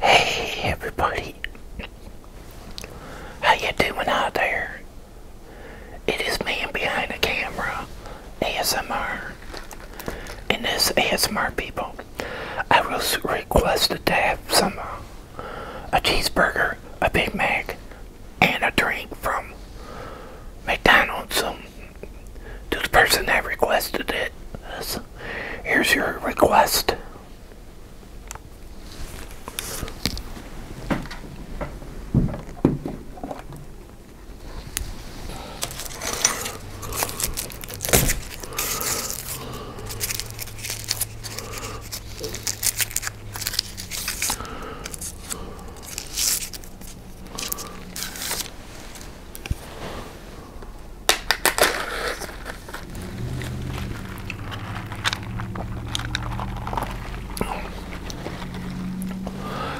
Hey everybody, how you doing out there? It is man behind the camera, ASMR, and this ASMR people. I was requested to have some, uh, a cheeseburger, a Big Mac, and a drink from McDonald's. Um, to the person that requested it. Here's your request.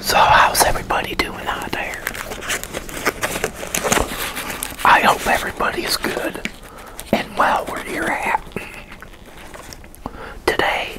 So how's everybody doing out there? I hope everybody is good and well where you're at today.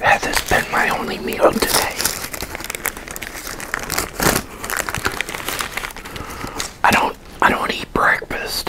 That has been my only meal today. I don't I don't eat breakfast.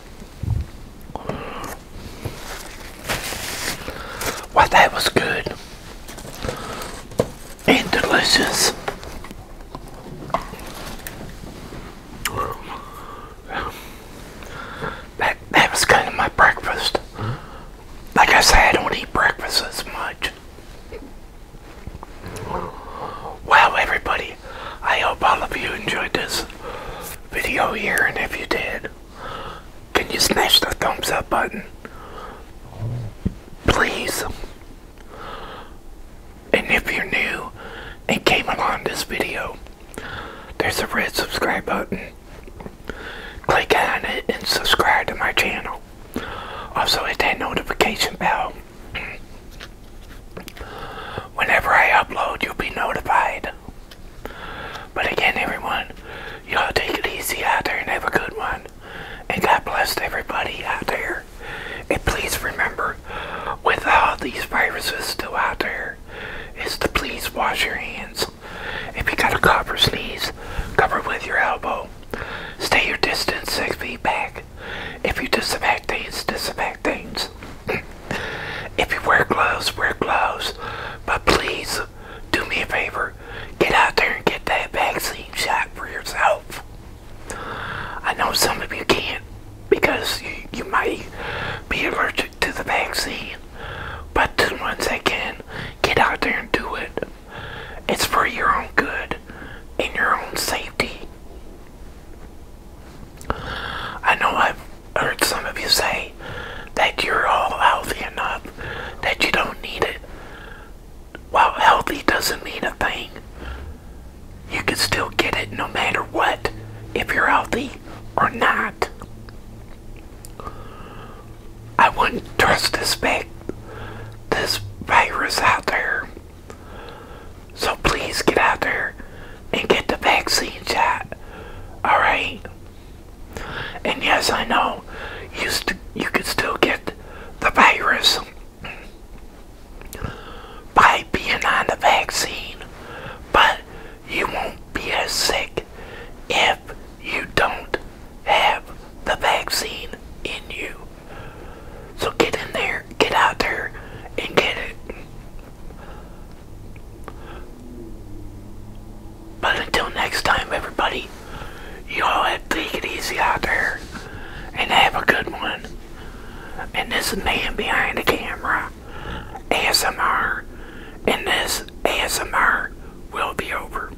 Well, that was good and delicious. That, that was kind of my breakfast. Like I said, I don't eat breakfast as much. Wow, everybody, I hope all of you enjoyed this video here, and if you did, can you smash the thumbs up button? Please. And if you're new and came along this video, there's a red subscribe button. Click on it and subscribe to my channel. Also hit that notification bell Whenever I upload, you'll be notified. But again, everyone, y'all take it easy out there and have a good one. And God bless everybody out there. And please remember, with all these viruses still out there, is to please wash your hands. If you got a cough or sneeze, cover with your elbow. Stay your distance six feet back. If you disinfect things, disinfect things. if you wear gloves, wear gloves. But please, do me a favor. Get out there and get that vaccine shot for yourself. I know some of you can't because you, you might be allergic to the vaccine. But to the ones that can, get out there and do it. It's for your own good and your own safety. I know I've heard some of you say that you're all healthy enough that you don't need it. While healthy doesn't mean a thing, you can still get it no matter what, if you're healthy or not. I wouldn't trust this big, this virus out there. So please get out there and get the vaccine shot. Alright? And yes, I know you, could still get the virus by being on the vaccine, but you won't be as sick if you don't have the vaccine in you. So get in there, get out there, and get it. But until next time, everybody, you all have to take it easy out there and have a good one. And this is man behind the camera, ASMR, and this ASMR will be over.